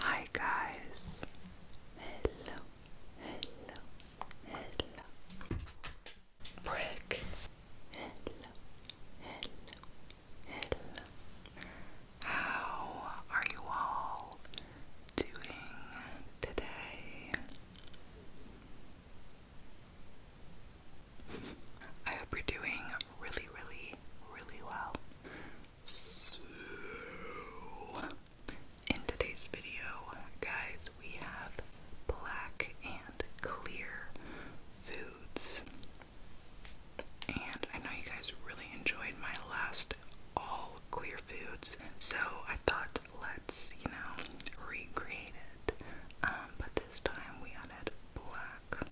Hi guys. Hello. Hello. Hello brick. Hello, hello, hello. How are you all doing today? I hope you're doing really, really, really well. So, in today's video, guys, we have black and clear foods. And I know you guys really enjoyed my last all clear foods, so I thought let's, you know, recreate it. Um, but this time we added black.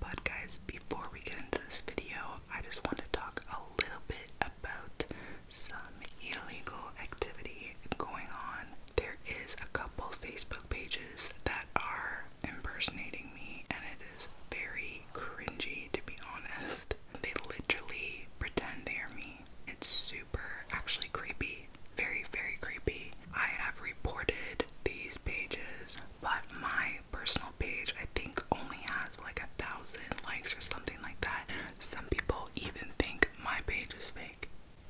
But guys, before we get into this video, I just want to talk a little bit about some illegal activity going on there is a couple Facebook pages that are impersonating me, and it is very cringy to be honest. They literally pretend they are me. It's super actually creepy. Very, very creepy. I have reported these pages, but my personal page I think only has like a thousand likes or something like that. Some people even think my page is fake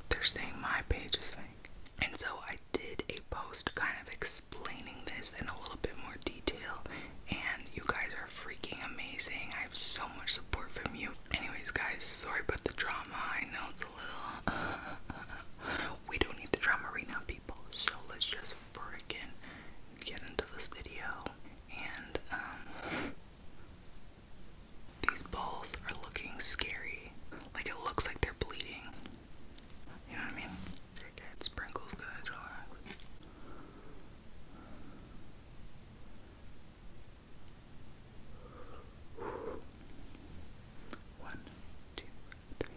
they're saying my page is fake. And so I did a post kind of explaining this in a little bit more detail, and you guys are freaking amazing. I have so much support from you. Anyways, guys, sorry about the drama. I know it's a little. we don't need the drama right now, people. So let's just freaking get into this video. And, um, these balls are looking scary. Like it looks like they're bleeding. You know what I mean? Sprinkles, guys, One, two, three.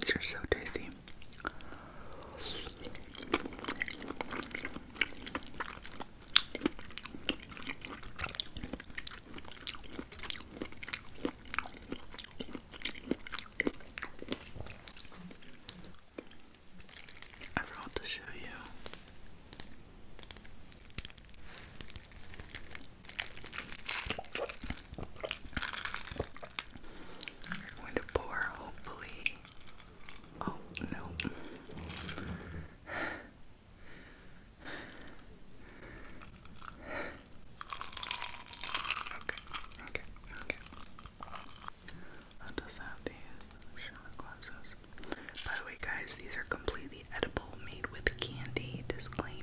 These are so tasty. I forgot to show you. We're going to pour, hopefully. Oh, no. Okay, okay, okay. I'll have these shot glasses. By the way, guys, these are completely edible, made with candy. Disclaimer.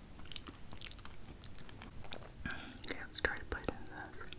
Okay, let's try to bite in this.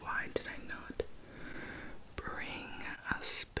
Why did I not bring a spoon?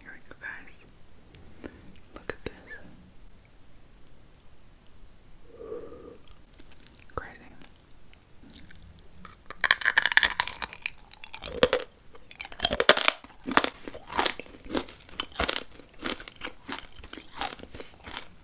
Here we go, guys. Look at this. Crazy.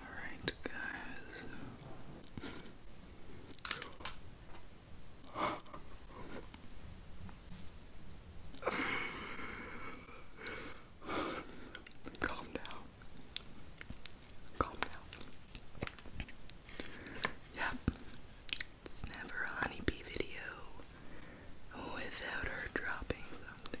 Alright, guys. Calm down. Calm down. Yep. It's never a honeybee video without her dropping something.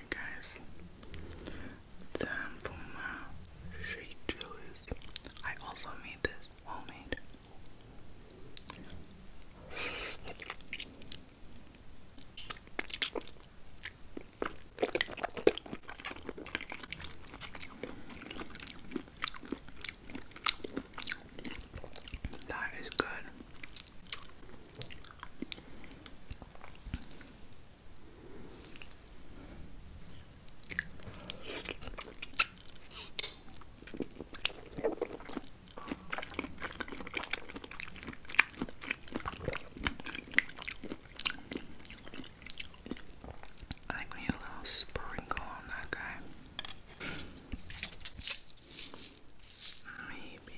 guys, time shade chilies. I also made this homemade. That is good. I need a little sprinkle on that guy. Maybe.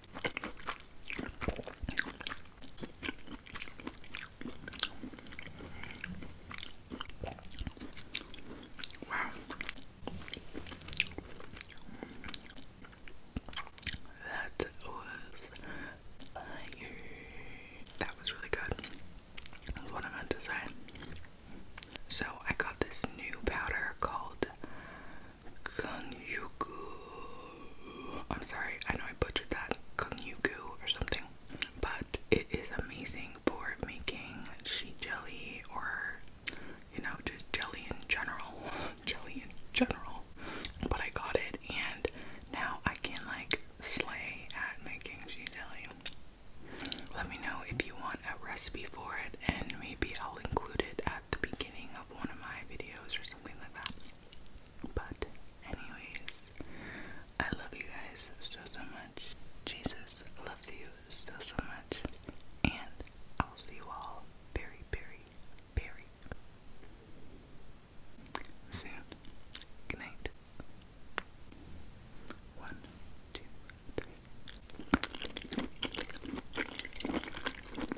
Wow. That was That was really good. what I meant to say. So I got this new powder called Kanyuku. I'm sorry, I know I butchered that. Kanyuku or something. But it is amazing for making sheet jelly or, you know, just jelly in general. jelly in general. But I got it and now I can like slay at making sheet jelly. Let me know if you want a recipe for it, and maybe I'll include it at the beginning of one of my videos or something something like that. But, anyways, I love you guys so, so much. Jesus loves you so, so much. And I'll see you all very, very, very soon. Good night. One, two, three.